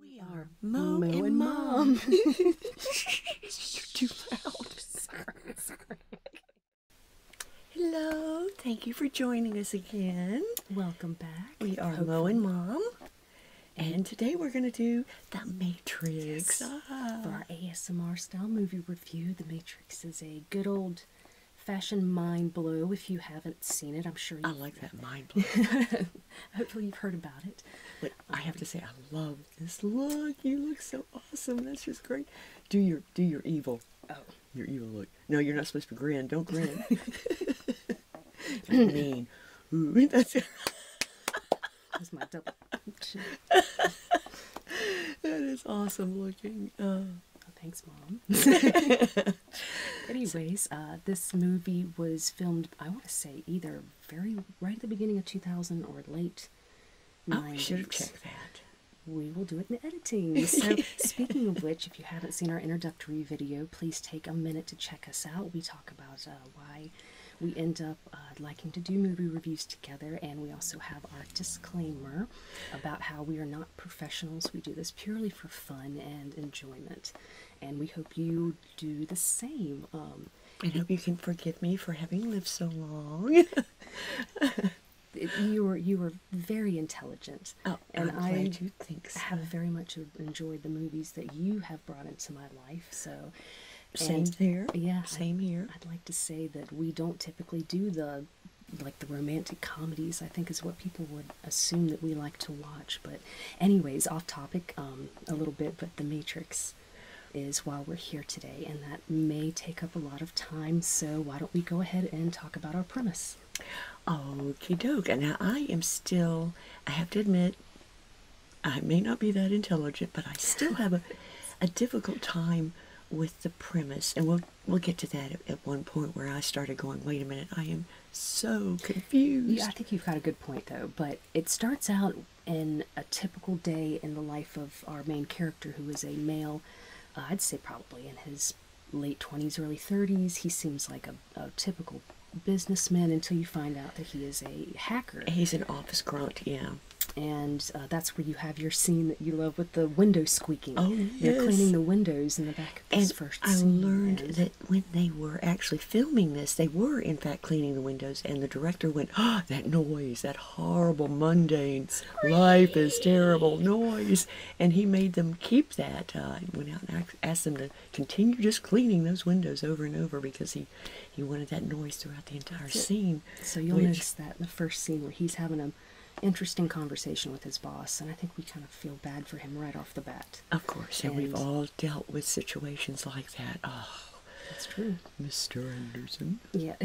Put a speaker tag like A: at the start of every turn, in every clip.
A: We are Mo, and, Mom. too loud. Sorry,
B: Hello. Thank you for joining us again. Welcome back. We are Hopefully. and Mom. And today we're going
A: to do The Matrix. Uh, ah. For our ASMR style movie review, The Matrix is a good old fashioned mind blow if you haven't seen it. I'm sure you I like that mind blow. Hopefully, you've heard about it. But
B: I have to say, I um, love this look. You look so awesome. That's just great. Do your do your evil. Oh, your evil look. No, you're not supposed to grin. Don't grin. I mean, that's my double. that
A: is awesome looking. Uh. Oh, thanks, mom. Anyways, uh, this movie was filmed I want to say, either very right at the beginning of 2000 or late. Oh, we should have checked that. We will do it in the editing. speaking of which, if you haven't seen our introductory video, please take a minute to check us out. We talk about uh, why we end up uh, liking to do movie reviews together, and we also have our disclaimer about how we are not professionals. We do this purely for fun and enjoyment, and we hope you do the same. Um, I hope you can forgive me for having lived so long. you were you were very intelligent, oh, and I'm I do think so. have very much enjoyed the movies that you have brought into my life. So. Same here. Yeah. Same here. I'd, I'd like to say that we don't typically do the like the romantic comedies, I think is what people would assume that we like to watch, but anyways, off topic um, a little bit, but the Matrix is while we're here today, and that may take up a lot of time. So, why don't we go ahead and talk about our premise? Okie
B: doke. And now I am still, I have to admit, I may not be that intelligent, but I still have a, a difficult time with the premise. And we'll we'll get to that at one point where I started going, wait a minute, I am so confused. Yeah, I
A: think you've got a good point though, but it starts out in a typical day in the life of our main character, who is a male, uh, I'd say probably in his late 20s, early 30s. He seems like a, typical businessman until you find out that he is a hacker. He's an office grunt, yeah. And uh, that's where you have your scene that you love with the windows squeaking. Oh, yes. They're cleaning the windows in the back
B: of this and first I scene. I learned and when they were actually filming this, they were in fact cleaning the windows, and the director went, "Ah, that noise! That horrible, mundane, life is terrible noise!" And he made them keep that. Uh, went out and asked them to continue just cleaning those windows over and over because he he wanted that
A: noise throughout the entire scene. So you'll notice that in the first scene where he's having an interesting conversation with his boss, and I think we kind of feel bad for him right off the bat.
B: Of course, and, we've all dealt with situations like that. Oh, that's true, Mr. Anderson.
A: Yeah,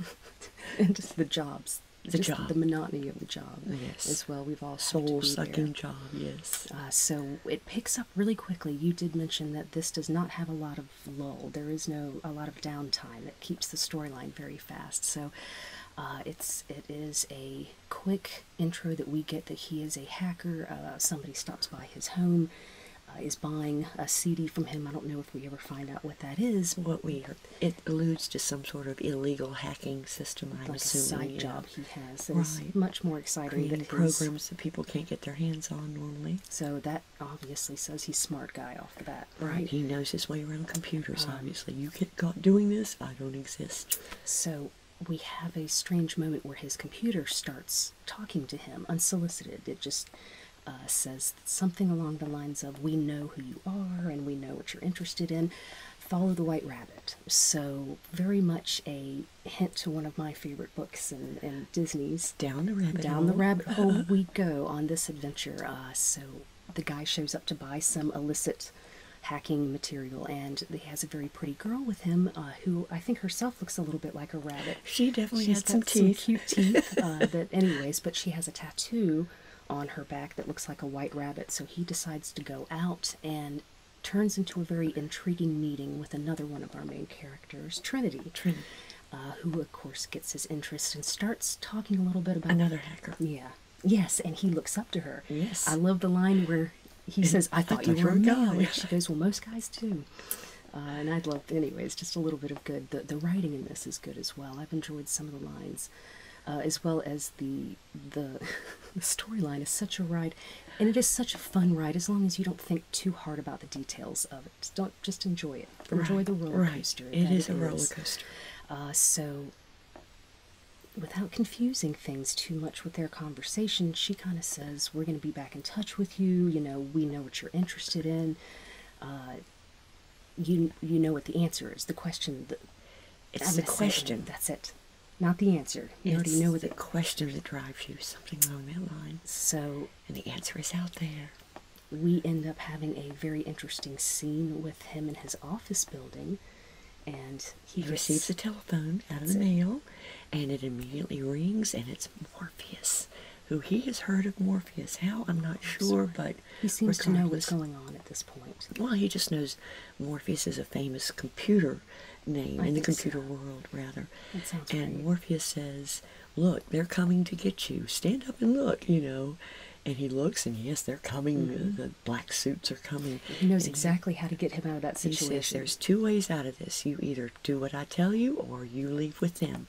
A: and, just the jobs, the job, the monotony of the job. Yes, as well. We've all soul sucking job. Yes. Uh, so it picks up really quickly. You did mention that this does not have a lot of lull. There is no a lot of downtime. It keeps the storyline very fast. So uh, it's it is a quick intro that we get that he is a hacker. Uh, somebody stops by his home, uh, is buying a CD from him. I don't know if we ever find out what that is. What we it alludes to some sort of illegal hacking system. I'm assuming, a side job he has. That's right. much more exciting than programs
B: that people can't get their hands on normally. So that
A: obviously says he's smart guy off the bat. Right. He knows his way around computers. Um, obviously, you get caught doing this. I don't exist. So we have a strange moment where his computer starts talking to him unsolicited. It just uh, says something along the lines of, We know who you are and we know what you're interested in. Follow the White Rabbit. So, very much a hint to one of my favorite books and, and Disney's. Down the rabbit Down hole. the rabbit hole we go on this adventure. Uh, so, the guy shows up to buy some illicit hacking material and he has a very pretty girl with him, uh, who I think herself looks a little bit like a rabbit. She definitely has some cute teeth. Uh, anyways, but she has a tattoo on her back that looks like a white rabbit. So he decides to go out and turns into a very intriguing meeting with another one of our main characters, Trinity. Trinity. Uh, who of course gets his interest and starts talking a little bit about another hacker. Yeah. Yes, and he looks up to her. Yes. I love the line where he says, I thought you were a male. And she goes, Well, most guys do. Uh, and I'd love, anyways, just a little bit of good. The, the writing in this is good as well. I've enjoyed some of the lines, uh, as well as the the, storyline is such a ride, and it is such a fun ride as long as you don't think too hard about the details of it. Don't just enjoy it. Enjoy the roller coaster. It is a roller coaster. Uh, so, without confusing things too much with their conversation, she kind of says, We're going to be back in touch with you. You know, we know what you're interested in. Uh, you you know what the answer is. The question. it's the question. That's it. Not the answer. You already know the question that drives you. Something along that line. So. And the answer is out there. We end up having a very interesting scene with him in his office building, and he receives a telephone out of the mail, and it immediately rings, and it's
B: Morpheus, who he has heard of Morpheus. How I'm not sure, but he seems to know what's going on at this point. Well, he just knows Morpheus is a famous computer name in the computer world, rather. That sounds and Morpheus says, "Look, they're coming to get you. Stand up and look." You know. And he looks, and yes, they're coming. Mm-hmm. The black suits are coming. He knows exactly how to get him out of that situation. "There's two ways out of this. You either do what I tell you or you leave with them.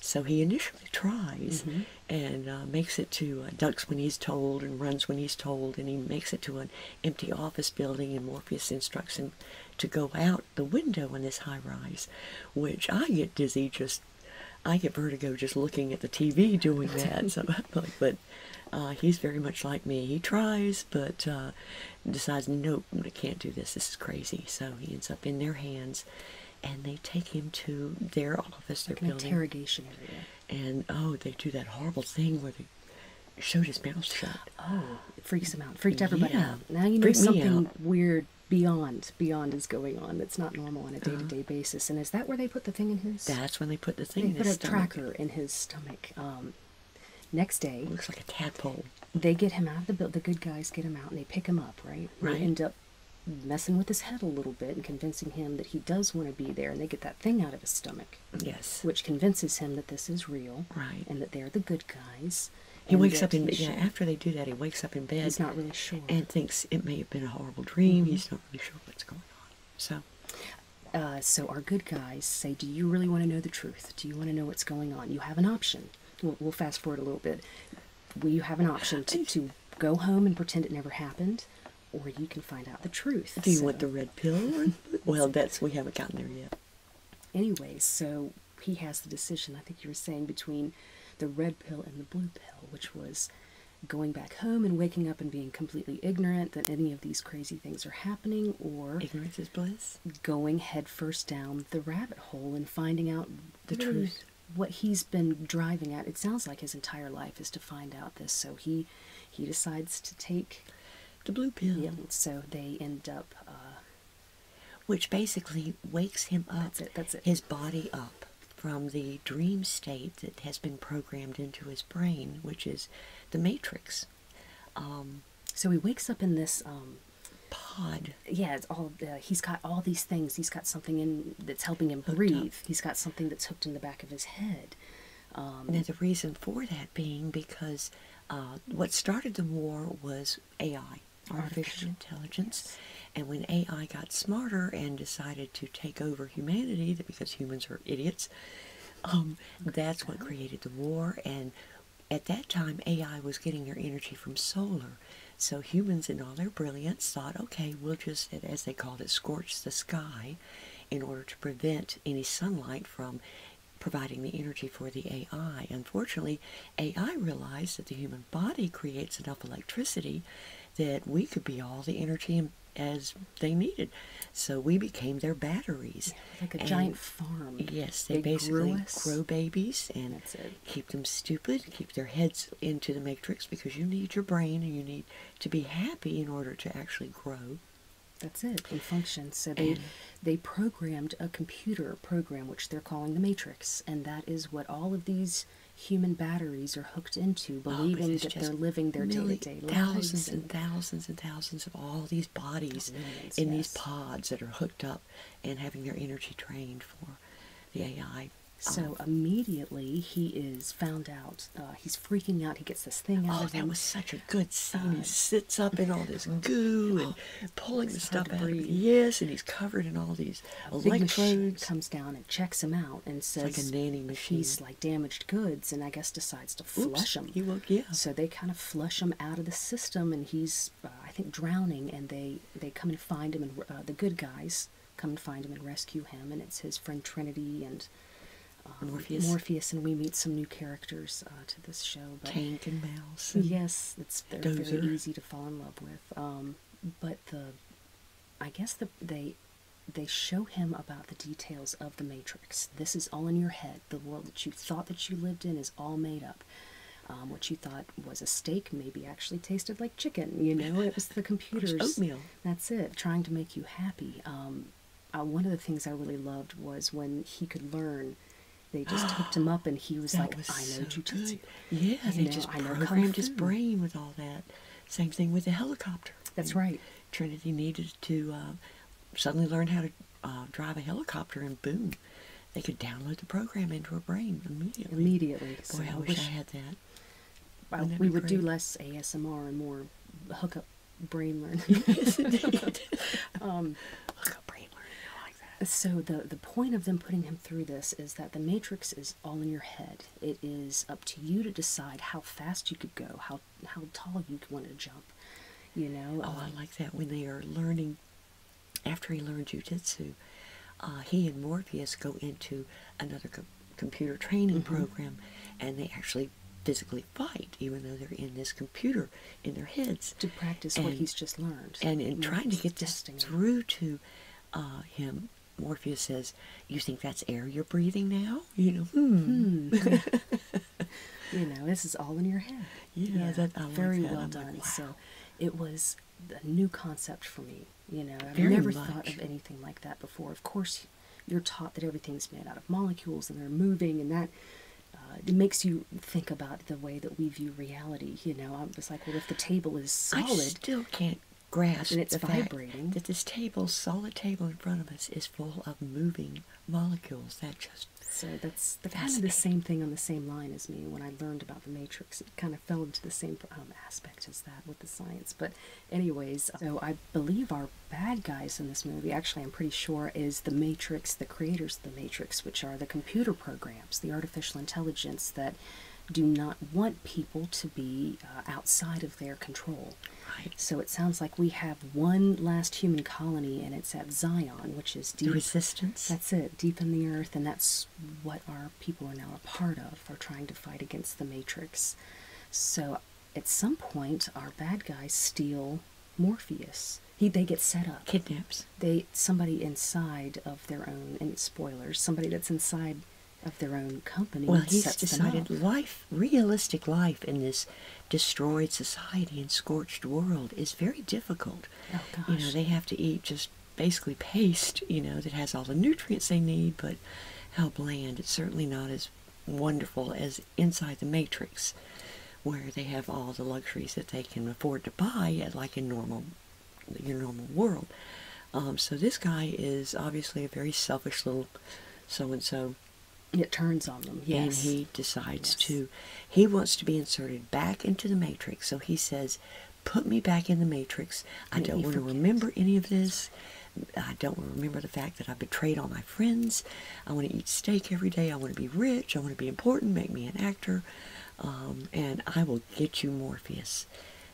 B: So he initially tries mm-hmm. and uh, makes it to uh, ducks when he's told and runs when he's told, and he makes it to an empty office building. And Morpheus instructs him to go out the window in this high rise, which I get dizzy just. I get vertigo just looking at the TV doing that. but uh, he's very much like me. He tries, but decides, nope, I can't do this. This is crazy. So he ends up in their hands, and they take him to their office, their like an building.
A: interrogation area.
B: And oh, they do that horrible
A: thing where they show his mouth shut. Oh, freaks him out. Freaks everybody out. Now you know Freaked something weird beyond beyond is going on that's not normal on a uh-huh. day-to-day basis and is that where they put the thing in his that's when they put the thing they in a tracker in his stomach um, Next day, it looks like a tadpole. They get him out of the building. The good guys get him out and they pick him up, right? Right. They end up messing with his head a little bit and convincing him that he does want to be there, and they get that thing out of his stomach. Yes. Which convinces him that this is real. Right. And that they're the good guys. He wakes up in bed. Yeah, after they do that, he wakes up in bed. He's not really sure. And thinks it
B: may have been a horrible
A: dream. Mm-hmm. He's not really sure what's going on. So. Uh, so our good guys say, "Do you really want to know the truth? Do you want to know what's going on? You have an option." We'll, fast forward a little bit. You have an option to, go home and pretend it never happened, or you can find out the truth. Do you want the red pill? well, that's we haven't gotten there yet. Anyway, so he has the decision. I think you were saying between the red pill and the blue pill, which was going back home and waking up and being completely ignorant that any of these crazy things are happening, or ignorance is bliss going headfirst down the rabbit hole and finding out the truth what he's been driving at it sounds like his entire life is to find out this so he he decides to take the blue pill yeah, so they end up uh, which basically wakes him up that's
B: it that's it his body up from the dream state that has been programmed into his
A: brain which is the matrix um, so he wakes up in this um, pod. Yeah, it's all. Uh, he's got all these things. He's got something in that's helping him breathe. He's got something that's hooked in the back of his head. Um, now the reason for that being because uh, what started the war was AI, artificial,
B: intelligence, and when AI got smarter and decided to take over humanity, because humans are idiots, um, that's what created the war and at that time, AI was getting their energy from solar. So humans, in all their brilliance, thought, okay, we'll just, as they called it, scorch the sky in order to prevent any sunlight from providing the energy for the AI. Unfortunately, AI realized that the human body creates enough electricity that we could be all the energy as they needed. So we became their batteries.
A: like a giant farm. Yes, they, basically grow
B: babies and keep them stupid, keep their heads into the matrix because you need your brain and you need to be happy in order to
A: actually grow. That's it, They function. So they they programmed a computer program which they're calling the Matrix, and that is what all of these human batteries are hooked into, oh, believing that they're living their day Thousands
B: and thousands and thousands of all these bodies in these pods that are hooked up and having their energy trained
A: for the AI. So um, immediately he is found out. Uh, he's freaking out. He gets this thing out. Oh, that him. was such a good scene. he uh, sits up in all this goo and oh, pulling the stuff out. Yes, and he's covered in all these a electrodes. Comes down and checks him out and says, "Like a nanny machine." He's like damaged goods, and I guess decides to flush him. You will, yeah. So they kind of flush him out of the system, and he's, uh, I think, drowning. And they they come and find him, and uh, the good guys come and find him and rescue him. And it's his friend Trinity and um, Morpheus. Morpheus, and we meet some new characters uh, to this show. But Tank and Mouse. yes, it's they're very easy to fall in love with. Um, but the, I guess the they, they show him about the details of the Matrix. This is all in your head. The world that you thought that you lived in is all made up. Um, what you thought was a steak maybe actually tasted like chicken. You know, it was the computer's oatmeal. That's it. Trying to make you happy. Um, uh, one of the things I really loved was when he could learn. They just hooked him up, and he was like, "I know so jujitsu." Yeah, you they just programmed his brain with all that. Same thing with the helicopter. That's right.
B: Trinity needed to uh, suddenly learn how to uh, drive a helicopter, and boom, they could download the program into her brain immediately. Immediately. Boy, so I, wish, I had
A: that. we would do less ASMR and more hookup brain learning. Um, hookup brain learning. I like that. So the the point of them putting him through this is that the matrix is all in your head. It is up to you to decide how fast you could go, how how tall you want to jump, you know. Oh, I um, like that when they are learning. After he learned jujitsu, uh, he and Morpheus
B: go into another computer training mm-hmm. program, and they actually physically fight, even though they're in this computer in their heads to practice what he's
A: just learned. And in trying to
B: get this through to uh, him, Morpheus says, "You think that's air you're breathing now? you know, hmm. Hmm. this
A: is all in your head." yeah, that's very well done. So it was a new concept for me. You know, I never thought of anything like that before. Of course, you're taught that everything's made out of molecules and they're moving, and that uh, it makes you think about the way that we view reality. You know, I was like, well, if the table is solid, I still can't grasp and it's vibrating.
B: that this table, solid table in front of us, is full of moving
A: molecules. That just so that's that's the same thing on the same line as me. When I learned about the matrix, it kind of fell into the same um, aspect as that with the science. But anyways, so I believe our bad guys in this movie, actually, I'm pretty sure, is the matrix, the creators of the matrix, which are the computer programs, the artificial intelligence that do not want people to be uh, outside of their control. Right. So it sounds like we have one last human colony, and it's at Zion, which is deep. resistance. That's it, deep in the earth, and that's what our people are now a part of. Are trying to fight against the Matrix. So, at some point, our bad guys steal Morpheus. He they get set up. Kidnaps. They somebody inside of their own. And spoilers. Somebody that's inside of their own company. Well, he's decided life, realistic
B: life in this destroyed society and scorched world is very difficult. Oh, you know, they have to eat just basically paste, you know, that has all the nutrients they need, but how bland. It's certainly not as wonderful as inside the matrix where they have all the luxuries that they can afford to buy like in normal your normal world. Um, so this guy is obviously a very selfish little so-and-so it turns on them, yes. And he decides to, he wants to be inserted back into the matrix. So he says, put me back in the matrix. I don't want to remember any of this. I don't want to remember the fact that I betrayed all my friends. I want to eat steak every day. I want to be rich. I want to be important. Make me an actor. Um, and I will get you Morpheus.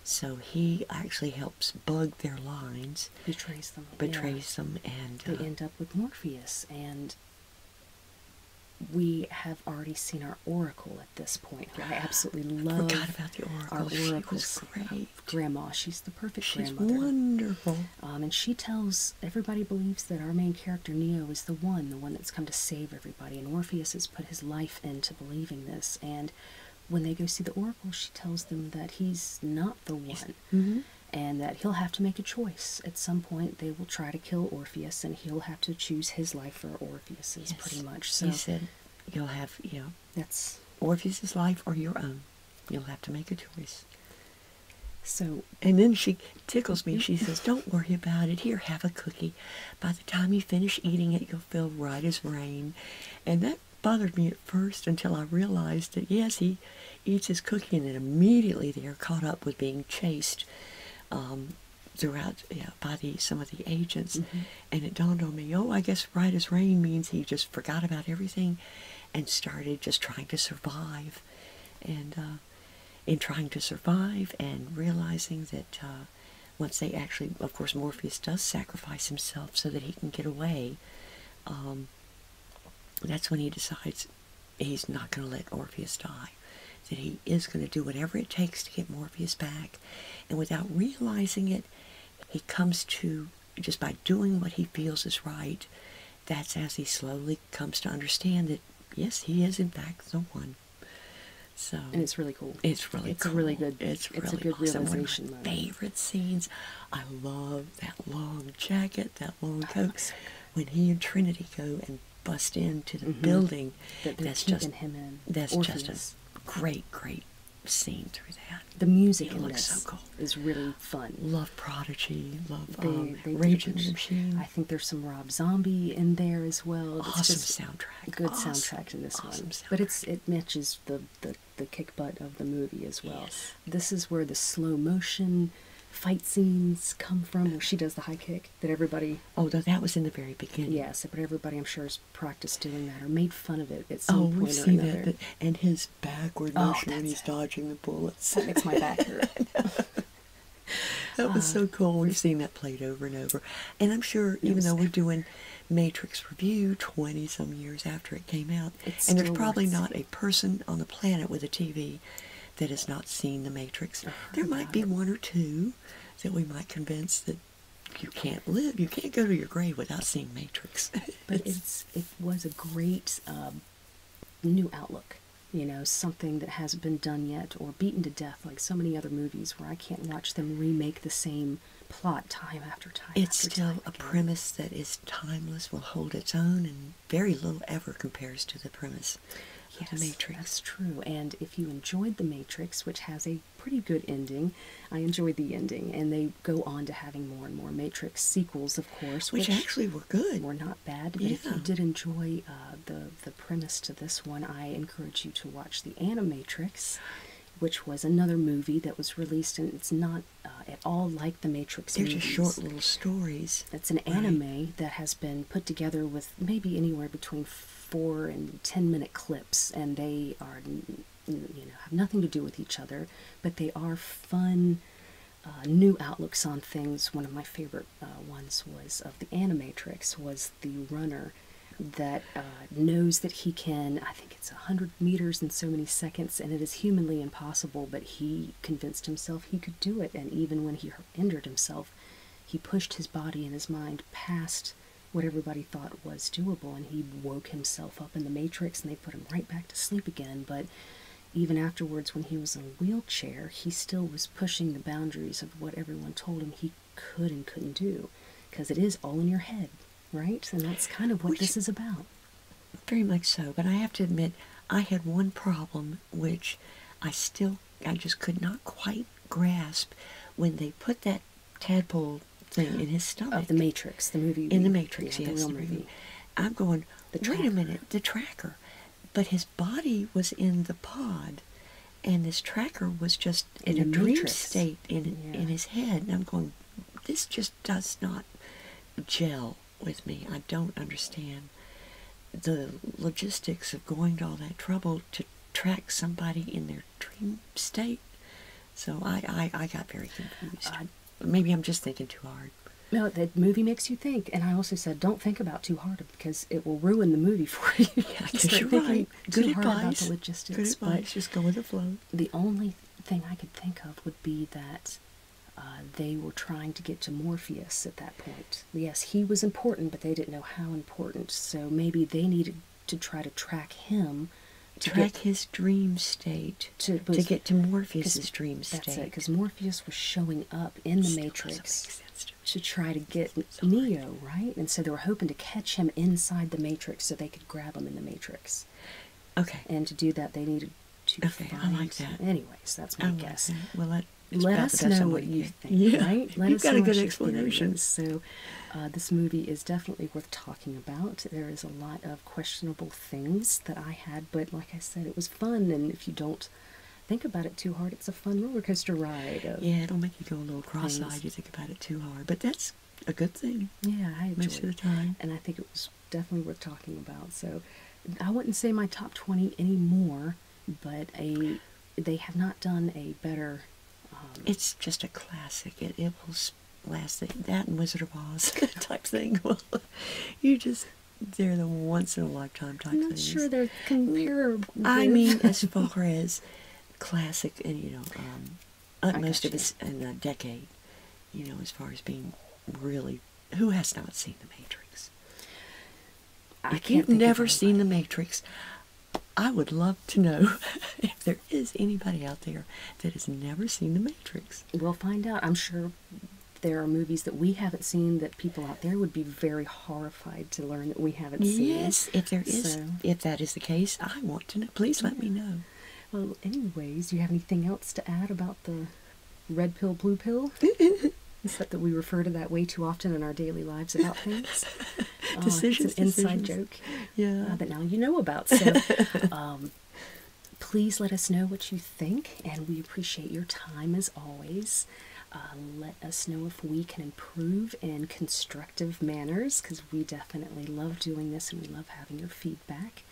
B: So he actually helps bug their
A: lines. Betrays them. Betrays them. And they uh, end up with Morpheus. And we have already seen our oracle at this point. I absolutely love. I about the oracle. Our she oracle's great. grandma. She's the perfect She's grandmother.
B: Wonderful.
A: Um, and she tells everybody believes that our main character Neo is the one, the one that's come to save everybody. And Orpheus has put his life into believing this. And when they go see the oracle, she tells them that he's not the one. Mm-hmm and that he'll have to make a choice. At some point, they will try to kill Orpheus, and he'll have to choose his life for Orpheus's, pretty much. So "You'll have, you know, that's Orpheus's life or your own.
B: You'll have to make a choice." So, and then she tickles me. She says, "Don't worry about it. Here, have a cookie. By the time you finish eating it, you'll feel right as rain." And that bothered me at first until I realized that yes, he eats his cooking, and immediately they are caught up with being chased um, throughout by some of the agents. Mm-hmm. And it dawned on me, oh, I guess right as rain means he just forgot about everything and started just trying to survive. And uh, in trying to survive and realizing that uh, once they actually, of course, Morpheus does sacrifice himself so that he can get away, um, that's when he decides he's not going to let Orpheus die, that he is going to do whatever it takes to get Morpheus back. And without realizing it, he comes to just by doing what he feels is right. That's as he slowly comes to understand that, yes, he is in fact the one. So and
A: it's really cool. It's really it's cool. really good. It's, it's really a good awesome. realization.
B: One of my moment. favorite scenes. I love that long jacket, that long coat. Oh, so when he and Trinity go and bust into the mm-hmm. building. that's just That's just a great, great
A: scene through that. The music in this Is really fun. Love Prodigy. Love they, um, Rage the Machine. I think there's some Rob Zombie in there as well. awesome soundtrack. Good soundtrack to this one. But it's it matches the the the kick butt of the movie as well. This is where the slow motion fight scenes come from. where She does the high kick that everybody. Oh, that was in the very beginning. Yes, but everybody, I'm sure, has practiced doing that or made fun of it at some oh, we see that, that, And his backward oh, motion when he's dodging
B: the bullets. That makes my back hurt. that was so uh, cool. We've seen that played over and over. And I'm sure, even though we're doing Matrix Review 20 some years after it came out, and there's probably not a person on the planet with a TV that has not seen The Matrix. Uh-huh. There might be one or two that we might convince that you can't live, you can't go to your grave without seeing Matrix.
A: but it's, it was a great um, new outlook, you know, something that hasn't been done yet or beaten to death like so many other movies where I can't watch them remake the same plot time after time. It's still a premise that is
B: timeless, will hold its own, and very little
A: ever compares to the premise yeah, Matrix. That's true. And if you enjoyed The Matrix, which has a pretty good ending, I enjoyed the ending. And they go on to having more and more Matrix sequels, of course, which, actually were good. Were not bad. yeah. if you did enjoy uh, the the premise to this one, I encourage you to watch the Animatrix. Which was another movie that was released, and it's not uh, at all like the Matrix. They're just short little stories it. It's an anime that has been put together with maybe anywhere between four and ten minute clips, and they are, you know, have nothing to do with each other, but they are fun, uh, new outlooks on things. One of my favorite uh, ones was of the Animatrix was the runner that uh, knows that he can, I think it's a 100 meters in so many seconds, and it is humanly impossible, but he convinced himself he could do it. And even when he injured himself, he pushed his body and his mind past what everybody thought was doable, and he woke himself up in the matrix, and they put him right back to sleep again. But even afterwards, when he was in a wheelchair, he still was pushing the boundaries of what everyone told him he could and couldn't do, because it is all in your head, right? And that's kind of what this is about.
B: Very much so. But I have to admit, I had one problem which I still I just could not quite grasp when they put that tadpole thing in his stomach. Of the Matrix, the movie. In the Matrix, yeah, the, the movie. I'm going. The wait a minute, the tracker, but his body was in the pod, and this tracker was just in, a dream state in in his head. And I'm going, this just does not gel with me. I don't understand the logistics of going to all that trouble to track somebody in their dream
A: state. So I, I, I got very confused. Uh, Maybe I'm just thinking too hard. No, the movie makes you think, and I also said don't think about too hard because it will ruin the movie for you. Yeah, because you're right. Good advice. Good advice. But the only thing I could think of would be that uh, they were trying to get to Morpheus at that point. Yes, he was important, but they didn't know how important. So maybe they needed to try to track him. To track his dream state. To, to get to Morpheus's dream state. because Morpheus was showing up in the Matrix to, try to get Neo, right? And so they were hoping to catch him inside the Matrix so they could grab him in the Matrix. Okay. And to do that, they needed to okay, find... I like that. Anyways, that's my guess. Like well, I, let us know what you think. Yeah, right? let you've us got know a good explanation. So, uh, this movie is definitely worth talking about. There is a lot of questionable things that I had, but like I said, it was fun. And if you don't think about it too hard, it's a fun roller coaster ride. Yeah, it'll make you go a little cross-eyed. You think about it too hard, but that's a good thing. Yeah, I enjoyed most of the time, and I think it was definitely worth talking about. So, I wouldn't say my top twenty anymore but a they have not done a better. Um, it's just a classic. It it will last that,
B: and Wizard of Oz type thing. you just they're the once in a lifetime type. I'm not sure
A: they're comparable. I mean, as
B: far as classic and you know, um, most of it's in a decade. You know, as far as being really who has not seen The Matrix? I if you've never seen The Matrix, I would love to know if there is anybody out there that has never seen The
A: Matrix. We'll find out. I'm sure there are movies that we haven't seen that people out there would be very horrified to learn that we haven't seen. Yes, if there is, if that is the case, I want to know. Please let me know. Well, anyways, do you have anything else to add about the red pill, blue pill. Except that we refer to that way too often in our daily lives about things. Uh, decisions, uh, an inside joke. Yeah. Uh, that now you know about. So um, please let us know what you think, and we appreciate your time as always. Uh, let us know if we can improve in constructive manners because we definitely love doing this and we love having your feedback.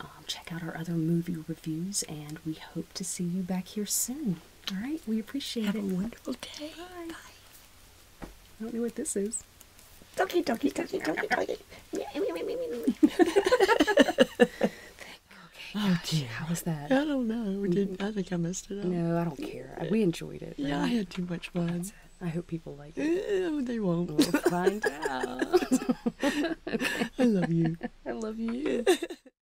A: Um, check out our other movie reviews, and we hope to see you back here soon. All right, we appreciate Have it. Have a wonderful day. Bye. Bye. I don't know
B: what this is. Donkey, donkey, donkey, donkey, donkey.
A: Oh, okay, oh gosh, dear. How was that? I don't know. We didn't. I think I messed it up. No, I don't care. I, we enjoyed it. Right? Yeah, I had too much fun. I hope people like it. Uh, they won't. We'll find out. okay. I love you. I love you.